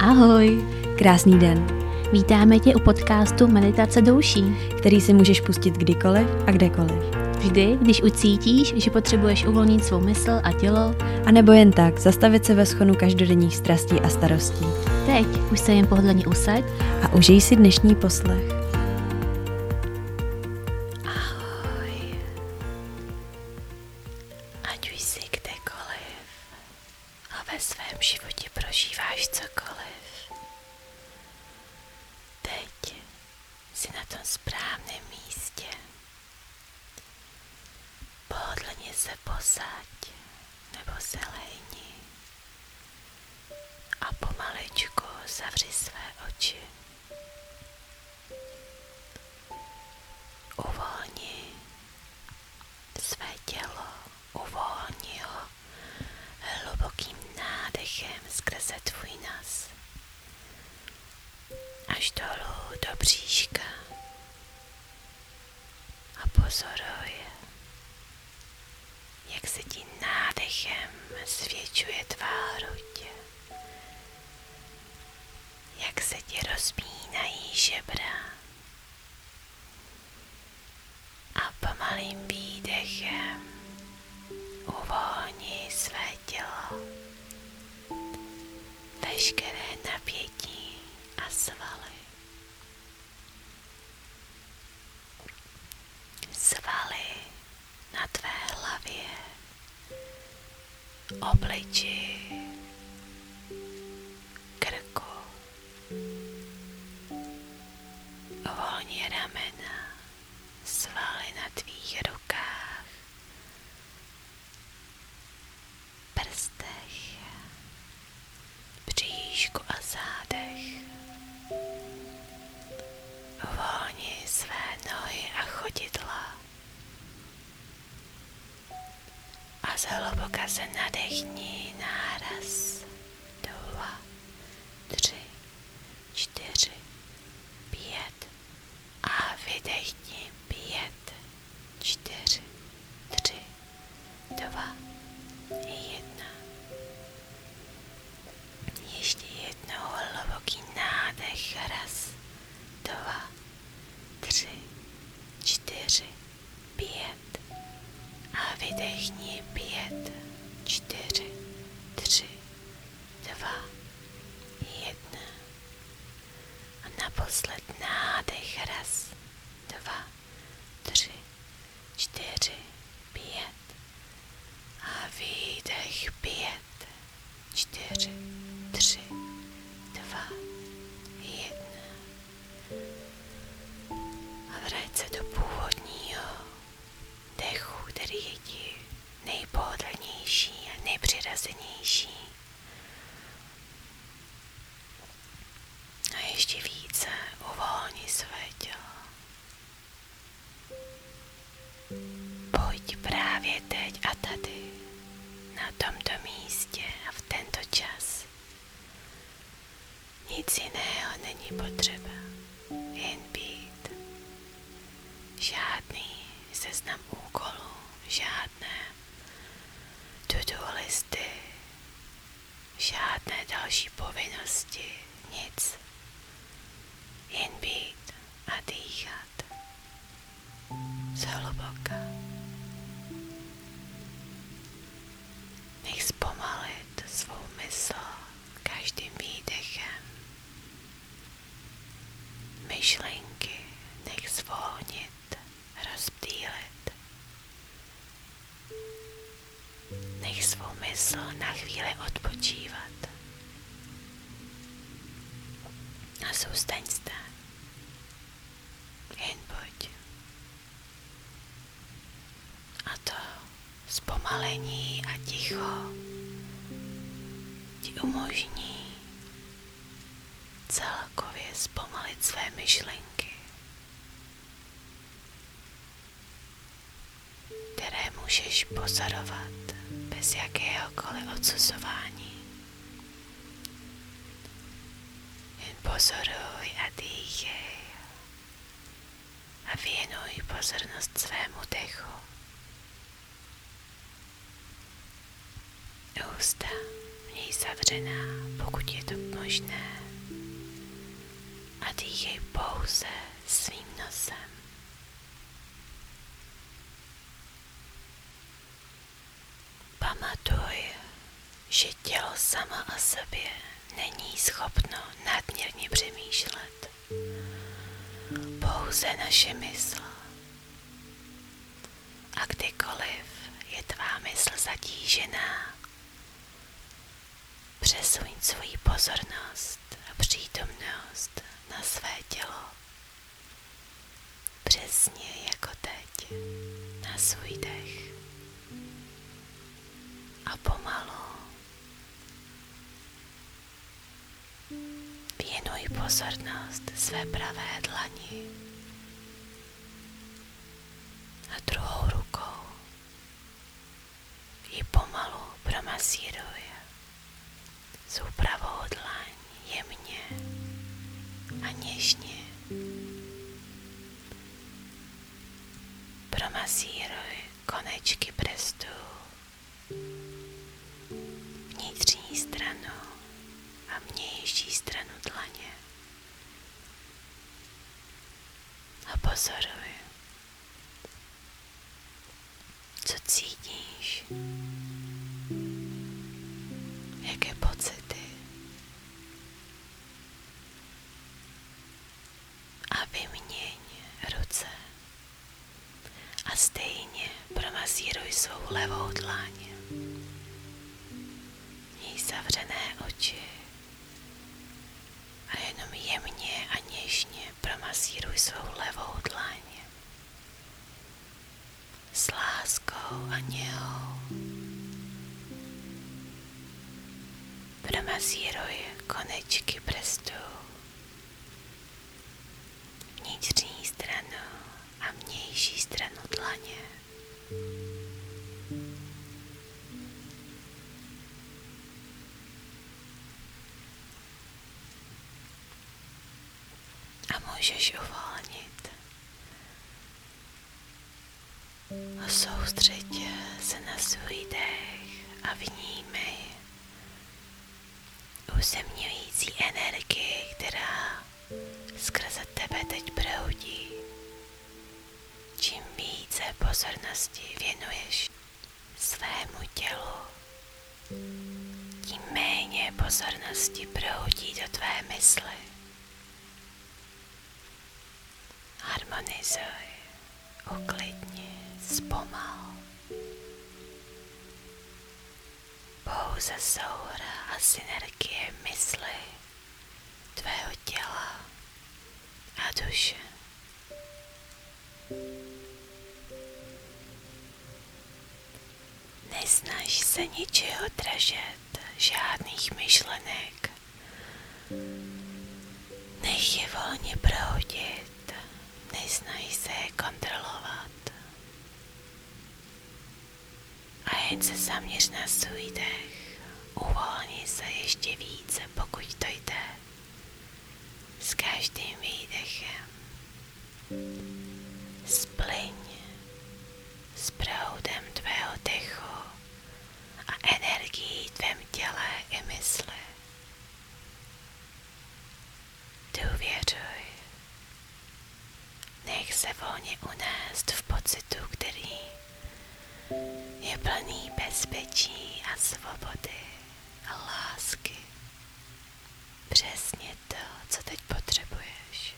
Ahoj! Krásný den! Vítáme tě u podcastu Meditace douší, který si můžeš pustit kdykoliv a kdekoliv. Vždy, když ucítíš, že potřebuješ uvolnit svou mysl a tělo, a nebo jen tak zastavit se ve schonu každodenních strastí a starostí. Teď už se jen pohodlně usaď a užij si dnešní poslech. Ahoj. Ať už jsi kdekoliv a ve svém životě prožíváš cokoliv, teď jsi na tom správném místě. Pohodlně se posaď nebo se lejni a pomaličku zavři své oči. Uvolni své tělo, uvolni ho hlubokým nádechem skrze tvůj nos až dolů do bříška a pozoruj, jak se ti nádechem zvětšuje tvá hruď jak se ti rozmínají žebra. A pomalým výdechem uvolni své tělo, veškeré napětí a svaly. Svaly na tvé hlavě obliči, krku, volní ramena, svaly na tvých rukách, prstech, příšku a zádech. Volni své nohy a chodidla a zhluboka se nadechni náraz. Dva, tři, čtyři, pět a vydechni pět, čtyři, tři, dva, jedna. Ještě jednou hluboký nádech, raz, dva, tři, čtyři, pět a vydechni pět, čtyři, tři, dva, jedna a naposled nádech raz, dva, tři, čtyři, pět a výdech pět, čtyři, tři, dva, jedna. A vrať se do původního dechu, který je ti nejpohodlnější a nejpřirazenější. A ještě více uvolni své tělo. Pojď právě teď a tady na tomto místě a v tento čas. Nic jiného není potřeba, jen být. Žádný seznam úkolů, žádné to-do listy, žádné další povinnosti, nic. Jen být a dýchat zhluboka. Nech zpomalit svou mysl každým výdechem. Myšlenky nech zvolnit, rozptýlit. Nech svou mysl na chvíli odpočívat. A zůstaň zde jen pojď. A to zpomalení a ticho ti umožní celkově zpomalit své myšlenky, které můžeš pozorovat bez jakéhokoliv odsuzování. In pozoruj a dýchej a věnuj pozornost svému dechu. Ústa měj zavřená, pokud je to možné. A dýchej pouze svým nosem. Pamatuj, že tělo sama o sobě není schopno nadměrně přemýšlet. Pouze naše mysl. A kdykoliv je tvá mysl zatížená, přesuň svoji pozornost a přítomnost na své tělo Přesně jako teď, na svůj dech. A pomalu věnuj pozornost své pravé dlani a druhou rukou ji pomalu promasíruj s úpravou dlaň jemně a něžně. Promasíruj konečky prstů, vnitřní stranu a vnější stranu dlaně. A pozoruj, co cítíš, jaké pocity a vyměň ruce a stejně promasíruj svou levou dlaň. Měj zavřené oči a jenom jemně a něžně promasíruj svou levou dlaň s láskou a něhou. Promasíruj konečky prstů, vnitřní stranu a vnější stranu dlaně. A můžeš uvolnit Soustředě se na svůj dech a vnímej uzemňující energie, která skrze tebe teď proudí. Čím více pozornosti věnuješ svému tělu, tím méně pozornosti proudí do tvé mysli. Harmonizuj, uklidni, zpomal. Pouze soura a synergie mysli, tvého těla a duše. Nesnaž se ničeho držet, žádných myšlenek. Nech je volně proudit, nesnaž se je kontrolovat. A jen se zaměř na svůj dech, uvolni se ještě více, pokud to jde. S každým výdechem spliň s proudem tvého dechu a energií tvém těle i mysli. Důvěřuj. Nech se volně unést v pocitu, který je plný bezpečí a svobody a lásky. Přesně to, co teď potřebuješ.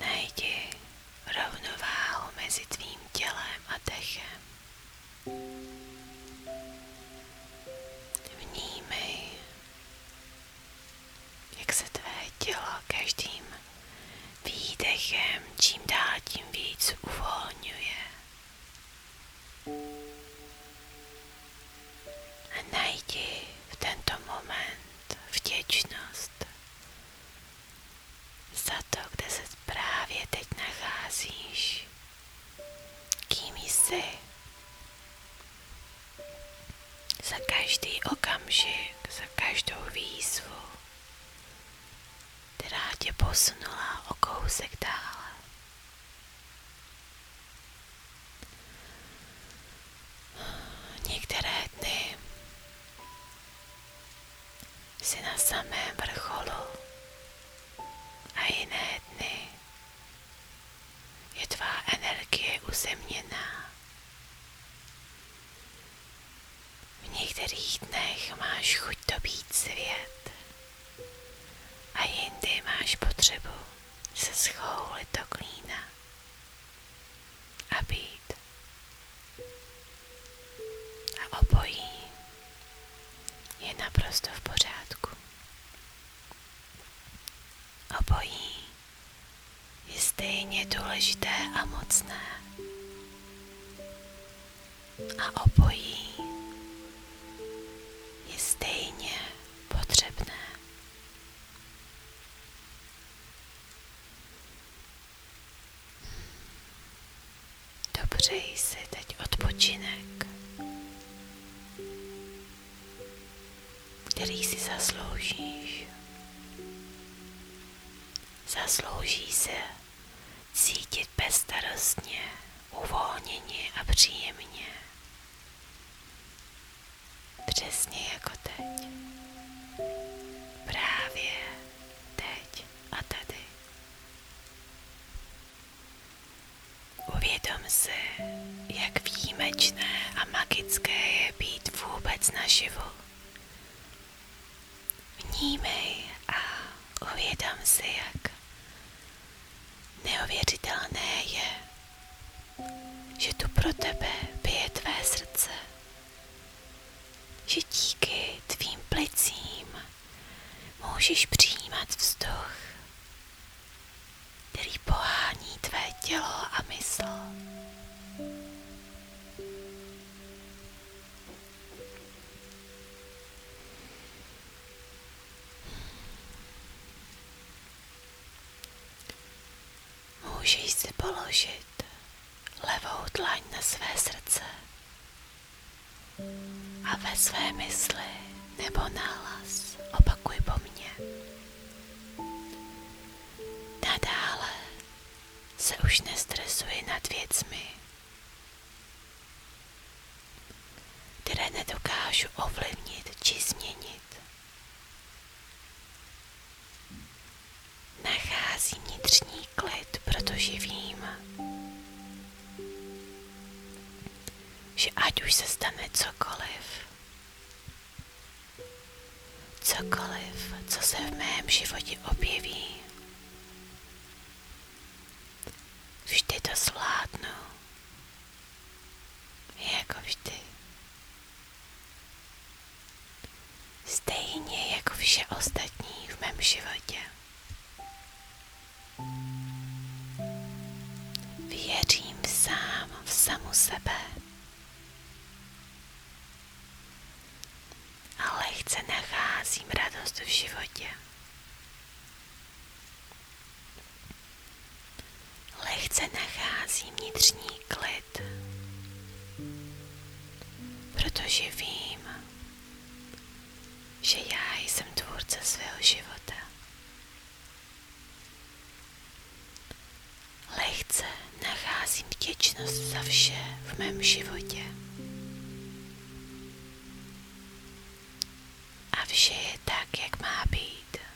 Najdi rovnováhu mezi tvým tělem a dechem. Vnímej, jak se tvé tělo každým výdechem čím dál tím víc uvolňuje a najdi v tento moment vděčnost za to, kde se právě teď nacházíš, kým jsi. Za každý okamžik, za každou výzvu, která tě posunula o kousek dále. Některé dny si na samém vrcholu a jiné dny je tvá energie uzemněná. V některých dnech máš chuť dobít svět a jindy máš potřebu se schoulit do klína a být. A obojí je naprosto v pořádku. Obojí je stejně důležité a mocné. A obojí je stejně potřebné. Dopřej si teď odpočinek, který si zasloužíš. Zaslouží se cítit bezstarostně, uvolněně a příjemně. Přesně jako teď. Právě teď a tady. Uvědom si, jak výjimečné a magické je být vůbec naživu. Vnímej a uvědom si, jak neuvěřitelné je že tu pro tebe bije tvé srdce, že díky tvým plicím můžeš přijímat vzduch, který pohání tvé tělo a mysl. Můžeš si položit levou dlaň na své srdce a ve své mysli nebo nálas opakuj po mně. Nadále se už nestresuji nad věcmi, které nedokážu ovlivnit či změnit. Nachází vnitřní klid, protože vím, že ať už se stane cokoliv, cokoliv, co se v mém životě objeví, vždy to zvládnu. Jako vždy. Stejně jako vše ostatní v mém životě. Věřím sám v samu sebe. Ale chce nacházím radost v životě. Lehce nacházím vnitřní klid, protože vím, že já jsem tvůrce svého života. Lehce nacházím vděčnost za vše v mém životě. A vše tak, jak má být.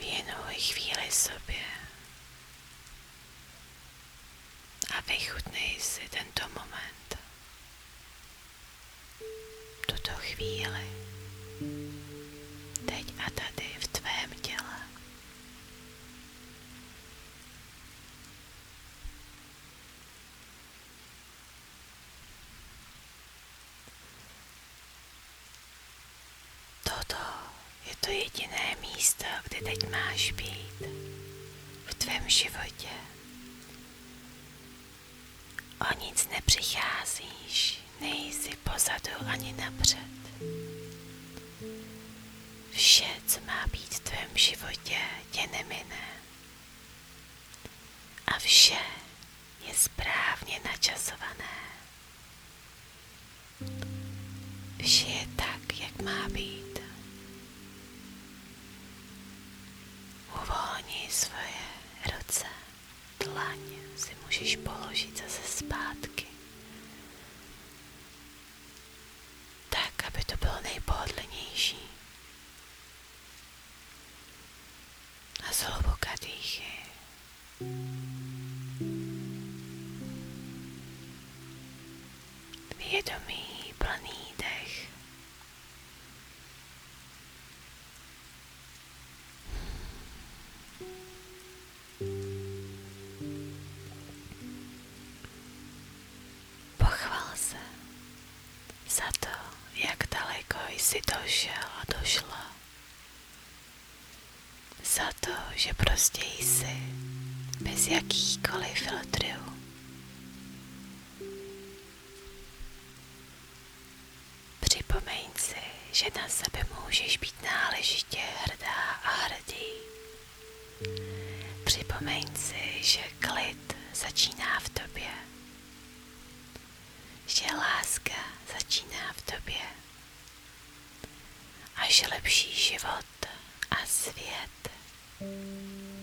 Věnuj chvíli sobě a vychutnej si tento moment, tuto chvíli, teď a tady v tvém těle. Toto je to jediné místo, kde teď máš být v tvém životě. O nic nepřicházíš, nejsi pozadu ani napřed. Vše, co má být v tvém životě, tě nemine. A vše je správně načasované. Vše je tak, jak má být. Uvolni svoje ruce, dlaň si můžeš položit zase zpátky. Tak, aby to bylo nejpohodlnější. A zhluboka dýchy. Vědomý plný dech. Pochval se za to, jak daleko jsi došel a došla. Za to, že prostě jsi bez jakýchkoliv filtrů. Připomeň si, že na sebe můžeš být náležitě hrdá a hrdý. Připomeň si, že klid začíná v tobě, že láska začíná v tobě a že lepší život a svět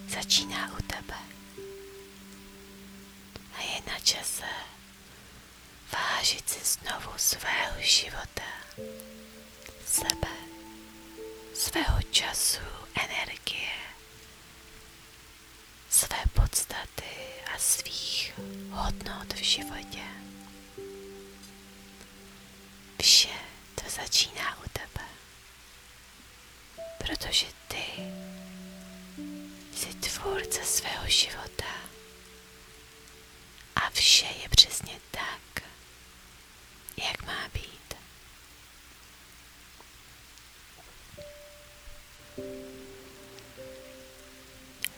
začíná u tebe. A je na čase vážit si znovu svého života, sebe, svého času, energie své podstaty a svých hodnot v životě. Vše to začíná u tebe, protože ty jsi tvůrce svého života a vše je přesně tak, jak má být.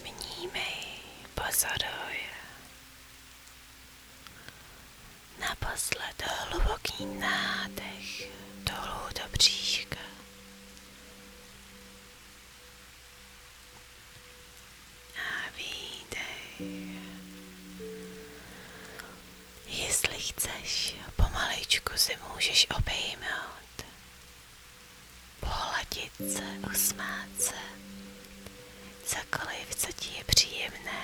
Vnímej, pozoruj. Naposled hluboký nádech dolů do bříška. A výdech. Jestli chceš, pomalejčku si můžeš obejmout, pohladit se, usmát se, cokoliv, co ti je příjemné.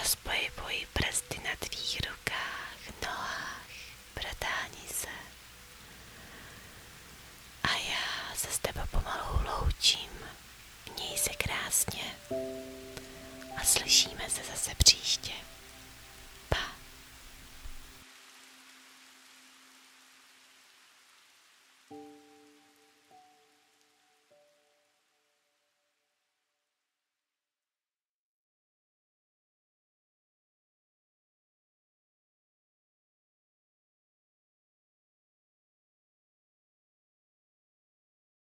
Rozpojibuj prsty na tvých rukách, nohách, bratání se. A já se s tebou pomalu loučím. Měj se krásně a slyšíme se zase příště. Pa.